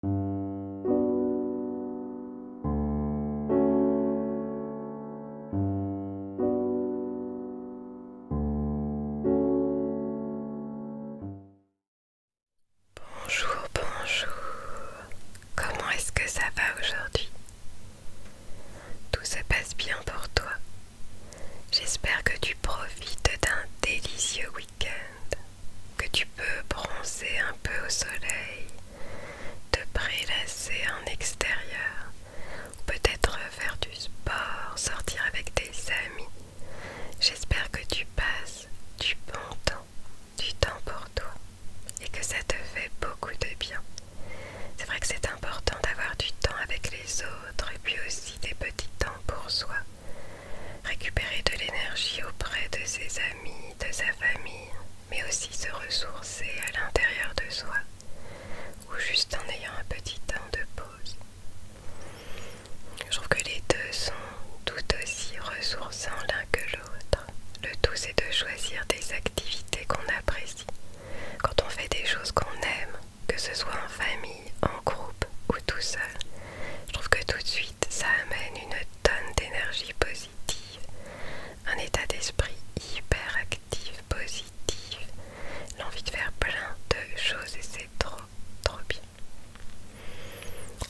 Bonjour, bonjour. Comment est-ce que ça va aujourd'hui Tout se passe bien pour toi. J'espère que tu profites d'un délicieux week-end que tu peux bronzer un peu au soleil, te prélasser en extérieur, peut-être faire du sport, sortir avec tes amis. J'espère que tu passes du bon temps, du temps pour toi, et que ça te fait beaucoup de bien. C'est vrai que c'est important d'avoir du temps avec les autres et puis aussi des petits temps pour soi récupérer de l'énergie auprès de ses amis, de sa famille, mais aussi se ressourcer à l'intérieur de soi ou juste en ayant un petit temps de pause. Je trouve que les deux sont tout aussi ressourçants l'un que l'autre. Le tout c'est de choisir des activités qu'on apprécie. Quand on fait des choses qu'on aime, que ce soit en famille, en groupe ou tout seul, je trouve que tout de suite, ça amène une tonne d'énergie positive, un état d'esprit hyperactif, positif, l'envie de faire plein de choses et c'est trop, trop bien.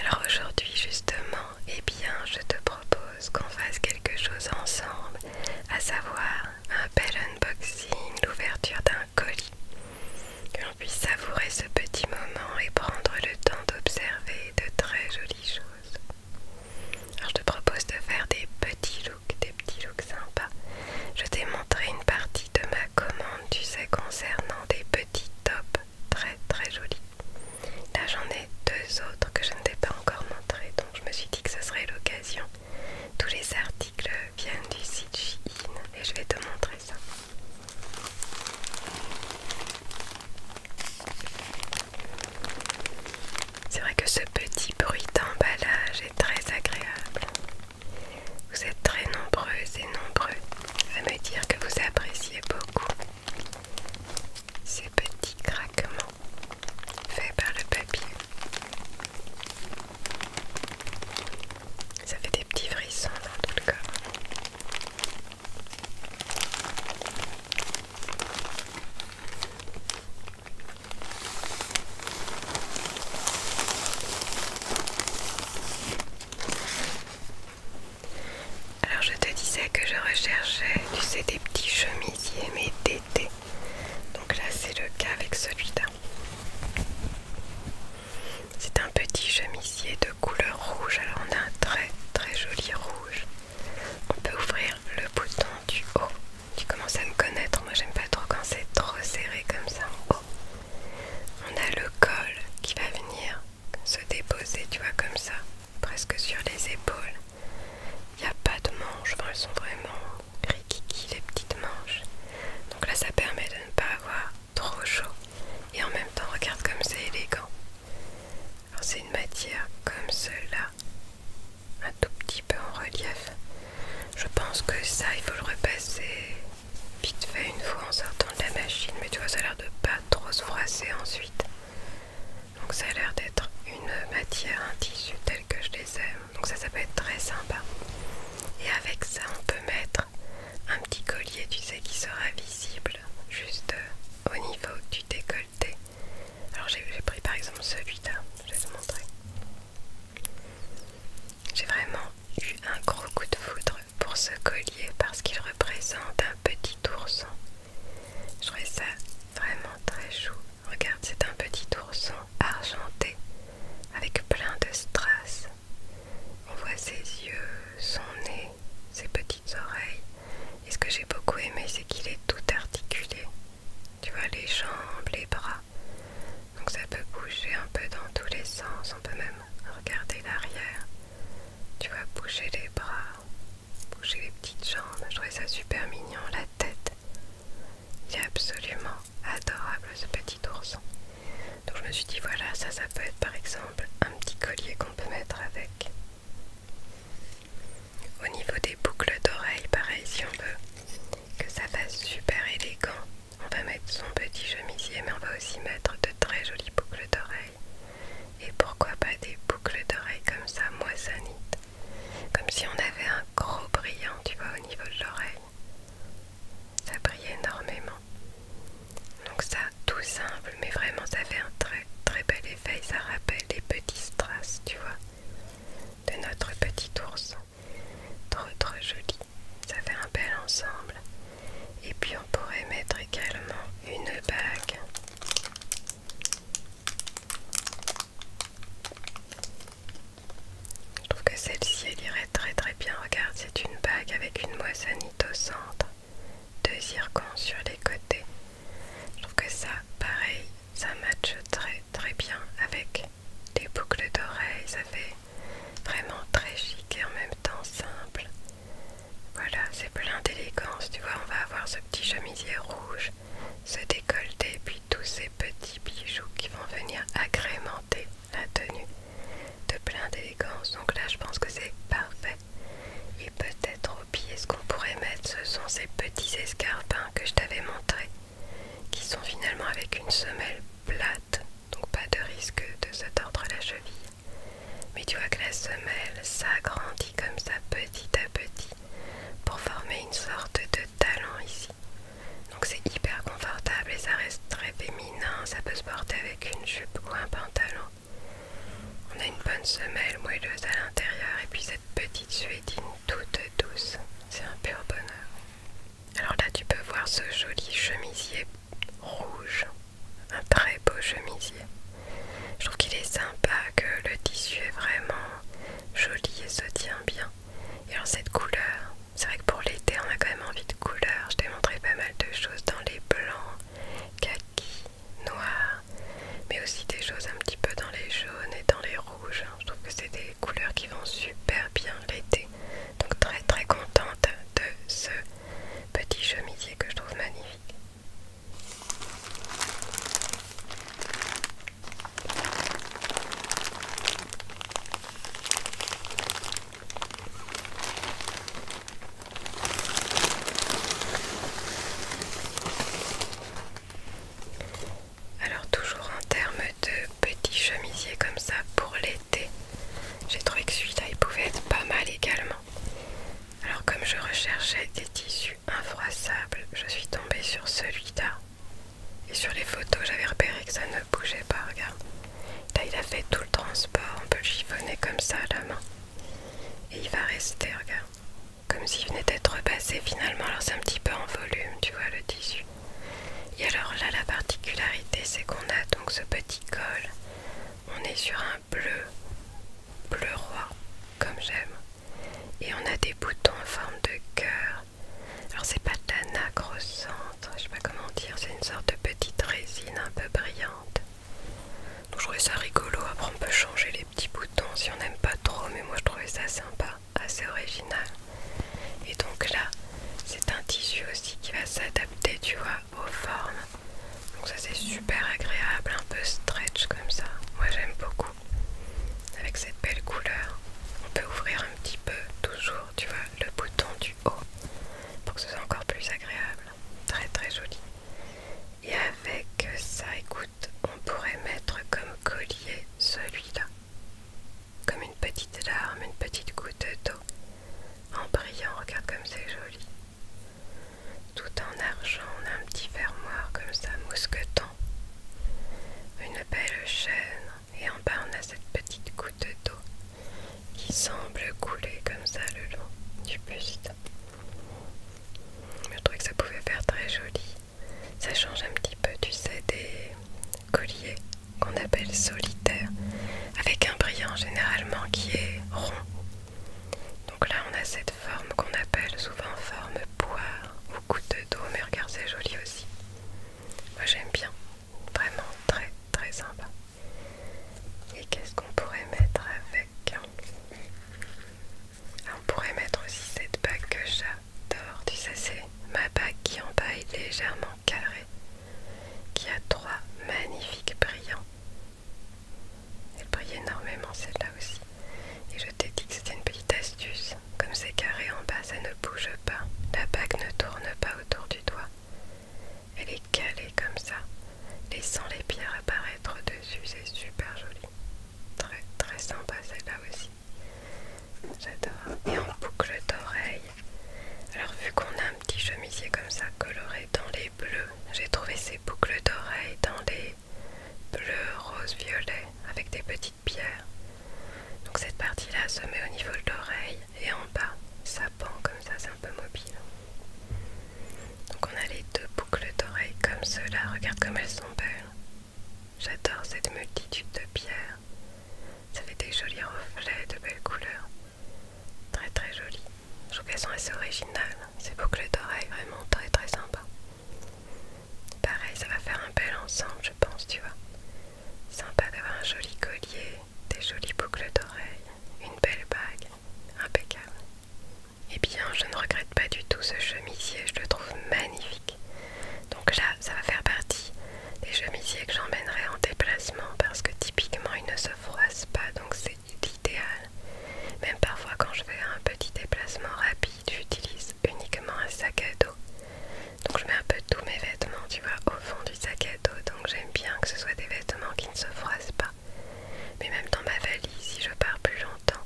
Alors aujourd'hui justement, eh bien, je te propose qu'on fasse quelque chose ensemble, à savoir un bel unboxing, l'ouverture d'un colis que l'on puisse savourer ce petit moment et prendre le temps d'observer de très jolies choses. Alors je te propose de faire des petits looks, des petits looks sympas. Je t'ai montré une partie de ma commande, tu sais, concernant des petits tops très très jolis. Là j'en ai deux autres que je ne t'ai pas encore montré, donc je me suis dit que ce serait l'occasion. Tous les articles viennent du site Shein et je vais te montrer ça. C'est vrai que ce petit bruit d'emballage est très agréable. Vous êtes très nombreuses et nombreux à me dire que vous appréciez beaucoup ces petits craquements faits par le papier. Ça fait des petits frissons dans tout le corps. Alors je te disais que je recherchais, tu sais, des petits chemisiers mais d'été. Donc là c'est le cas avec celui-là. C'est un petit chemisier de couleur rouge. Alors on a un très très joli rouge. On peut ouvrir le bouton du haut. Tu commences à me connaître. Moi j'aime pas trop quand c'est trop serré comme ça en haut. On a le col qui va venir se déposer, tu vois, comme ça, presque sur les épaules. Il n'y a pas de manches, elles sont vraiment rikiki les petites manches. Donc là, ça permet de ne pas avoir trop chaud. Et en même temps, regarde comme c'est élégant. Alors c'est une matière comme cela, un tout petit peu en relief. Je pense que ça, il faut le repasser vite fait une fois en sortant de la machine. Mais tu vois, ça a l'air de pas trop se froisser ensuite. Donc ça a l'air d'être une matière, un tissu tel que je les aime. Donc ça, ça peut être très sympa. Et avec ça, on peut mettre un petit collier, tu sais, qui sera visible juste euh, au niveau du décolleté. Alors j'ai pris par exemple celui-là, je vais te montrer. J'ai vraiment eu un gros coup de foudre pour ce collier parce qu'il représente un petit ourson. Je trouvais ça vraiment très chou. Regarde, c'est un petit ourson argenté avec plein de strass. On voit ses yeux, son nez, ses petites oreilles. Et ce que j'ai beaucoup aimé, c'est qu'il est tout articulé. Tu vois les jambes, les bras. Donc ça peut bouger un peu dans tous les sens. On peut même regarder l'arrière. Tu vois bouger les bras, bouger les petites jambes. Je trouvais ça super mignon. La tête. C'est absolument adorable ce petit ourson. Donc je me suis dit voilà, ça ça peut être par exemple un petit collier qu'on peut mettre avec. Au niveau des boucles d'oreilles, pareil si on veut que ça fasse super élégant, on va mettre son petit chemisier mais on va aussi mettre de très jolies boucles d'oreilles. Et pourquoi pas des boucles d'oreilles comme ça moissonnites Comme si on avait un gros brillant, tu vois, au niveau de l'oreille. Ça brille énormément. Donc ça, tout simple, mais vraiment ça fait un très très bel effet. Ça rappelle les petits strass, tu vois, de notre petit ours Trop trop joli. Ça fait un bel ensemble. Et puis on pourrait mettre également une bague. Je trouve que celle-ci, elle irait très très bien. Regarde, c'est une bague avec une moissanite au centre, deux zircons sur les côtés. Je trouve que ça, pareil, ça matche très très bien avec des boucles d'oreilles. Ça fait vraiment très chic et en même temps simple. Voilà, c'est plein d'élégance. Tu vois, on va avoir ce petit chemisier rouge, ce décolleté, puis tous ces petits bijoux qui vont venir agrémenter la tenue de plein d'élégance. Donc là, je pense que c'est parfait. Et peut-être au pied, ce qu'on pourrait mettre, ce sont ces petits escarpins que je t'avais montré qui sont finalement avec une semelle plate, donc pas de risque de se tordre la cheville. Mais tu vois que la semelle s'agrandit comme ça petit à petit pour former une sorte de talent ici. Donc c'est hyper confortable et ça reste très féminin, ça peut se porter avec une jupe ou un pantalon. On a une bonne semelle moelleuse à l'intérieur et puis cette petite suédine toute douce, c'est un pur bonheur. Alors là tu peux voir ce joli chemisier rouge, un très beau chemisier. Je trouve qu'il est sympa, que le tissu est vraiment joli et se tient bien. Et alors cette couleur, c'est vrai que pour l'été on a quand même envie de couleurs. Je t'ai montré pas mal de choses dans les blancs, kaki, noirs, mais aussi des choses un petit peu dans les jaunes et dans les rouges. Je trouve que c'est des couleurs qui vont super bien l'été. Donc très très contente de ce petit chemisier que je trouve magnifique. Alors toujours en termes de petits chemisiers comme ça pour l'été, j'ai trouvé que celui-là il pouvait être pas mal également. Alors comme je recherchais des tissus infroissables, je suis tombée sur celui-là. Et sur les photos, j'avais repéré que ça ne bougeait pas, regarde. Là, il a fait tout le transport, on peut le chiffonner comme ça la main. Et il va rester, regarde. Comme s'il venait d'être repassé finalement, alors c'est un petit peu en volume, tu vois, le tissu. Et alors là, la particularité, c'est qu'on a donc ce petit col. On est sur un bleu, bleu roi, comme j'aime. Et on a des boutons en forme de cœur. Alors c'est pas de la nacre au hein, centre, je sais pas comment dire, c'est une sorte de petite résine un peu brillante. Donc je trouvais ça rigolo, après on peut changer les petits boutons si on n'aime pas trop, mais moi je trouvais ça sympa, assez original. Et donc là, c'est un tissu aussi qui va s'adapter, tu vois, aux formes. Donc ça c'est super agréable, un peu stretch comme ça. Moi j'aime beaucoup avec cette belle couleur. On peut ouvrir un petit peu, toujours, tu vois, le bouton du haut pour que ce soit encore plus agréable. Très très joli. Et avec ça, écoute, on pourrait mettre comme collier celui-là. Comme une petite larme, une petite goutte d'eau. En brillant, regarde comme c'est joli. Tout en argent, on a un petit fermoir comme ça, mousqueton une belle chaîne et en bas on a cette petite goutte d'eau qui semble couler comme ça le long du buste. Je trouvais que ça pouvait faire très joli. Ça change un petit peu, tu sais, des colliers qu'on appelle solitaires, avec un brillant généralement qui est rond. Donc là on a cette forme qu'on appelle souvent forme poire beaucoup de dos, mais regarde, c'est joli aussi. Moi j'aime bien, vraiment très très sympa. Et qu'est-ce qu'on pourrait mettre avec hein ah, On pourrait mettre aussi cette bague que j'adore. Tu sais, c'est ma bague qui en paille légèrement carrée, qui a trois magnifiques brillants. Elle brille énormément celle-là aussi. Et je t'ai dit que c'était une petite astuce. Comme c'est carré en bas, ça ne bouge pas. La bague ne tourne pas autour du doigt. Elle est calée comme ça, laissant les pierres apparaître dessus. C'est super joli. Très très sympa celle-là aussi. J'adore. Et en boucle d'oreille. Alors vu qu'on a un petit chemisier comme ça coloré dans les bleus, j'ai trouvé ces boucles d'oreilles dans les bleu, rose, violet avec des petites pierres. Donc cette partie-là se met au niveau de l'oreille et en bas, ça pend comme ça, c'est un peu mobile. Donc on a les deux boucles d'oreilles comme cela, regarde comme elles sont belles. J'adore cette multitude de pierres. Ça fait des jolis reflets, de belles couleurs. Très très jolies. Je trouve qu'elles sont assez originales. Ces boucles d'oreilles, vraiment très très sympas. Pareil, ça va faire un bel ensemble, je pense, tu vois. Sympa d'avoir un joli collier, des jolies boucles d'oreilles, une belle bague, impeccable. Et bien, je ne regrette pas du tout ce chemisier, je le trouve magnifique. Donc là, ça va faire partie des chemisiers que j'emmènerai en déplacement parce que typiquement, ils ne se froissent pas, donc c'est l'idéal. Même parfois, quand je fais un petit déplacement rapide, j'utilise uniquement un sac à dos. Donc je mets un peu tous mes vêtements, tu vois, au fond du sac à dos. Donc j'aime bien que ce soit des vêtements qui ne se froissent pas. Mais même dans ma valise, si je pars plus longtemps,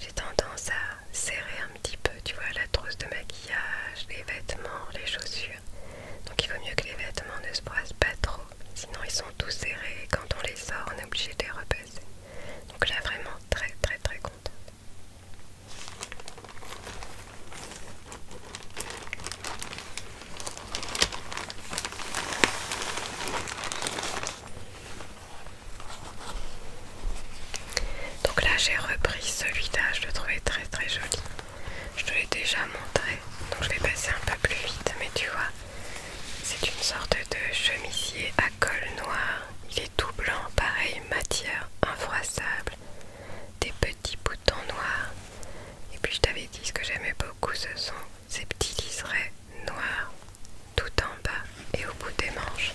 j'ai tendance à serrer un petit peu, tu vois, la trousse de maquillage, les vêtements, les chaussures. Donc il vaut mieux que les vêtements ne se froissent pas trop, sinon ils sont tous serrés et quand on les sort, on est obligé de les repasser. Donc là vraiment très très très contente. Donc là j'ai repris celui-là, je le trouvais très très joli. Je te l'ai déjà montré, donc je vais passer un peu plus vite, mais tu vois, c'est une sorte de chemisier à col noir. Il est tout blanc, pareil, matière infroissable. Des petits boutons noirs. Et puis je t'avais dit ce que j'aimais beaucoup, ce sont ces petits liserés noirs tout en bas et au bout des manches.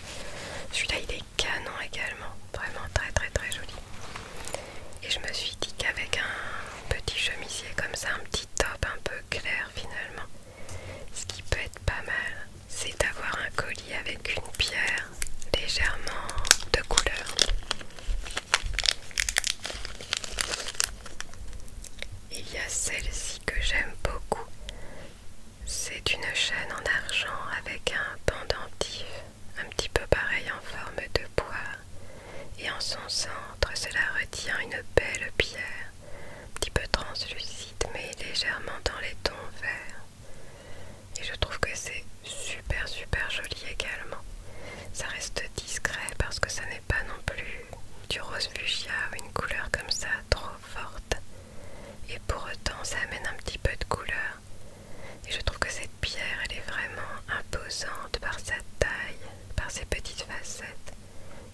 Celui-là il est canon également, vraiment très très très joli. Et je me suis dit qu'avec un petit chemisier comme ça, un petit top un peu clair finalement, ce qui peut être pas mal, c'est d'avoir un collier avec une pierre légèrement de couleur. Il y a celle-ci que j'aime beaucoup. C'est une chaîne en argent avec un pendentif, un petit peu pareil en forme de bois, Et en son centre, cela retient une belle pierre un petit peu translucide mais légèrement dans les tons verts. Et je trouve que c'est super super joli également. Ça reste discret parce que ça n'est pas non plus du rose fuchsia ou une couleur comme ça trop forte. Et pour autant ça amène un petit peu de couleur. Et je trouve que cette pierre elle est vraiment imposante par sa taille, par ses petites facettes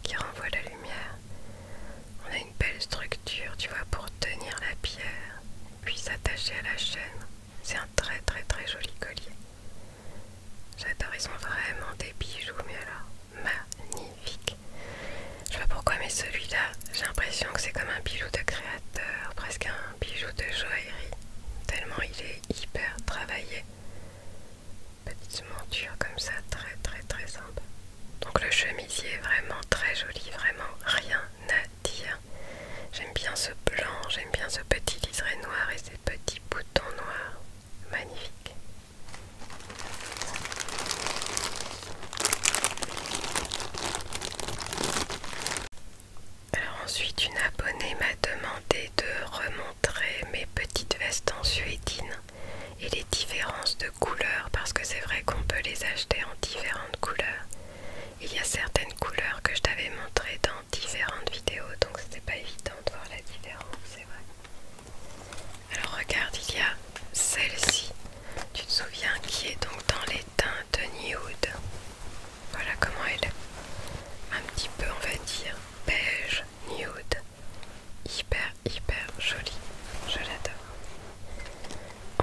qui renvoie la lumière. On a une belle structure, tu vois, pour tenir la pierre, puis s'attacher à la chaîne. C'est un très très très joli collier. J'adore, ils sont vraiment des bijoux, mais alors magnifique. Je vois pourquoi, mais celui-là, j'ai l'impression que c'est comme un bijou de créateur, presque un bijou de joaillerie, tellement il est hyper travaillé. Petite monture comme ça, très très très simple. Donc le chemisier est vraiment très joli, vraiment rien à dire. J'aime bien ce blanc, j'aime bien ce petit liseré noir et ces petits boutons noirs. Magnifique. Alors ensuite une abonnée m'a demandé de remontrer mes petites vestes en suédine et les différences de couleurs parce que c'est vrai qu'on peut les acheter en différentes couleurs. Il y a certaines couleurs que je t'avais montrées dans différentes vidéos donc c'était pas évident de voir la différence, c'est vrai. Alors regarde, il y a celle-ci, tu te souviens, qui est donc dans les teintes nude. Voilà comment elle est. Un petit peu, on va dire, beige, nude hyper hyper jolie, je l'adore.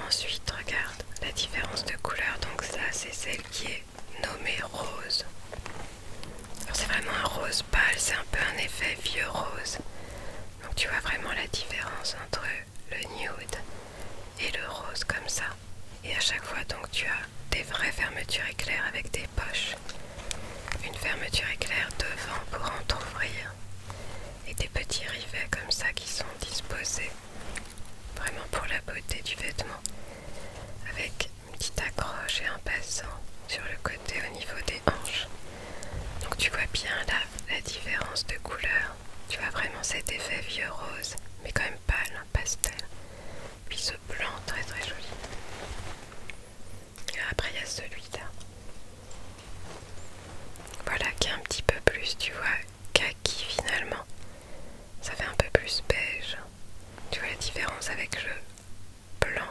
Ensuite regarde la différence de couleur, donc ça c'est celle qui est nommée rose. c'est vraiment un rose pâle, c'est un peu un effet vieux rose. Donc tu vois vraiment la différence entre le nude et le rose comme ça. Et à chaque fois donc tu as des vraies fermetures éclair avec des poches. Une fermeture éclair devant pour ouvrir Et des petits rivets comme ça qui sont disposés vraiment pour la beauté du vêtement. Avec une petite accroche et un passant sur le côté au niveau des hanches. Donc tu vois bien là la différence de couleur. Tu vois vraiment cet effet vieux rose, mais quand même pâle, pastel. Puis ce blanc très très joli après, il y a celui-là. Voilà, qui est un petit peu plus, tu vois, kaki finalement. Ça fait un peu plus beige. Tu vois la différence avec le blanc.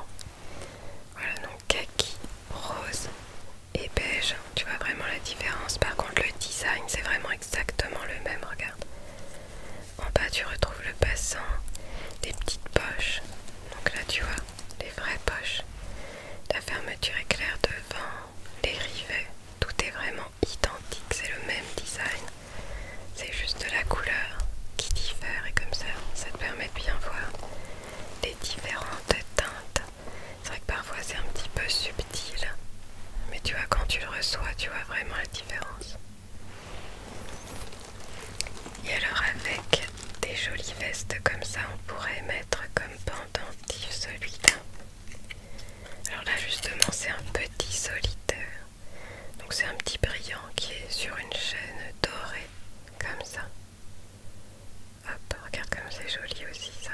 Voilà, donc kaki, rose et beige. Tu vois vraiment la différence. Par contre, le design, c'est vraiment exactement le même, regarde. En bas, tu retrouves le passant, des petites poches. Donc là, tu vois, les vraies poches. La fermeture éclair devant, les rivets. Tout est vraiment identique, c'est le même design. C'est juste la couleur qui diffère et comme ça, ça te permet de bien voir les différentes teintes. C'est vrai que parfois c'est un petit peu subtil, mais tu vois, quand tu le reçois, tu vois vraiment la différence. Et alors avec des jolies vestes comme ça, on pourrait mettre comme pendentif celui-là. Alors là justement c'est un petit solitaire. Donc c'est un petit brillant qui est sur une chaîne dorée, comme ça. Hop, regarde comme c'est joli aussi ça.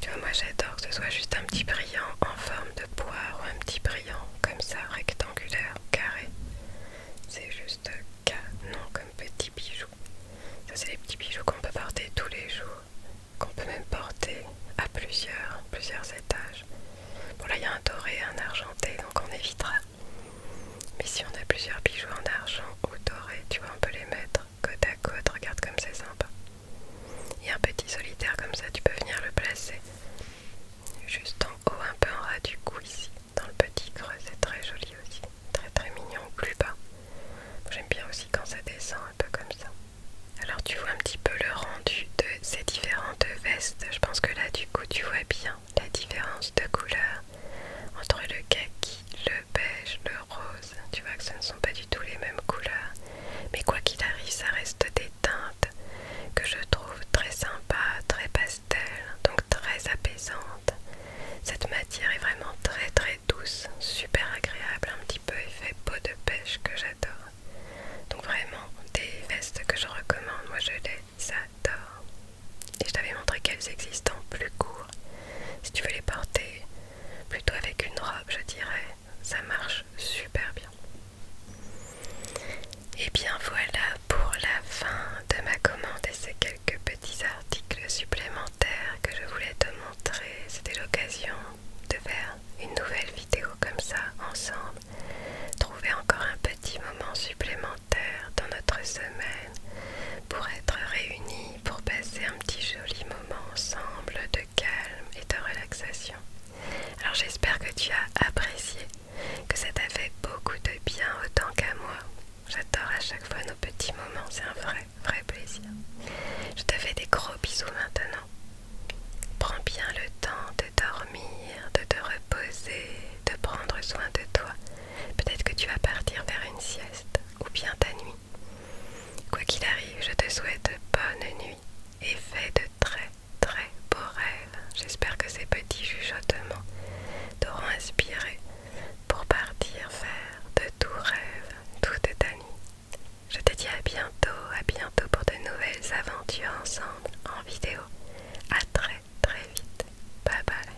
Tu vois, moi j'adore que ce soit juste un petit brillant en forme de ou un petit brillant comme ça, rectangulaire, carré. C'est juste canon comme petit bijou. Ça c'est les petits bijoux qu'on peut porter tous les jours, qu'on peut même porter à plusieurs, plusieurs étages. Bon là il y a un doré et un argenté donc on évitera. Mais si on a plusieurs bijoux en argent ou doré, tu vois on peut les mettre côte à côte, regarde comme c'est sympa. Il y a un petit solitaire comme ça, tu peux venir le placer juste en haut, un peu en ras du cou ici, dans le petit creux, c'est très joli aussi, très très mignon plus bas. J'aime bien aussi quand ça descend un peu comme ça. Alors tu vois un petit peu le rendu de ces différentes vestes, je pense que là du coup tu vois bien la différence de couleur entre le kaki, le beige, le rose, tu vois que ce ne sont pas du tout les mêmes couleurs. Mais quoi qu'il arrive, ça reste des teintes que je trouve très sympas, très pastel, donc très apaisantes. Cette matière est vraiment très très douce, super agréable, un petit peu effet peau de pêche que j'adore. Donc vraiment des vestes que je recommande, moi je les adore. Et je t'avais montré qu'elles existent plus court. Si tu veux les porter plutôt avec une robe, je dirais, ça marche super bien. Et bien voilà pour la fin de ma commande et ces quelques petits articles supplémentaires que je voulais te montrer. C'était l'occasion de faire une nouvelle vidéo comme ça ensemble. Trouver encore un petit moment supplémentaire dans notre semaine pour être réunis, pour passer un petit joli moment ensemble de calme et de relaxation. Alors j'espère que tu as apprécié, que ça t'a fait beaucoup de bien autant qu'à moi. J'adore à chaque fois nos petits moments, c'est un vrai, vrai plaisir. Je te fais des gros bisous maintenant. Prends bien le temps de dormir, de te reposer, de prendre soin de toi. Peut-être que tu vas partir vers une sieste ou bien ta nuit. Quoi qu'il arrive, je te souhaite bonne nuit et fait de très très beaux rêves. J'espère que ces petits chuchotements t'auront inspiré pour partir faire de tout rêve toute ta nuit. Je te dis à bientôt, à bientôt pour de nouvelles aventures ensemble en vidéo. À très très vite. Bye bye.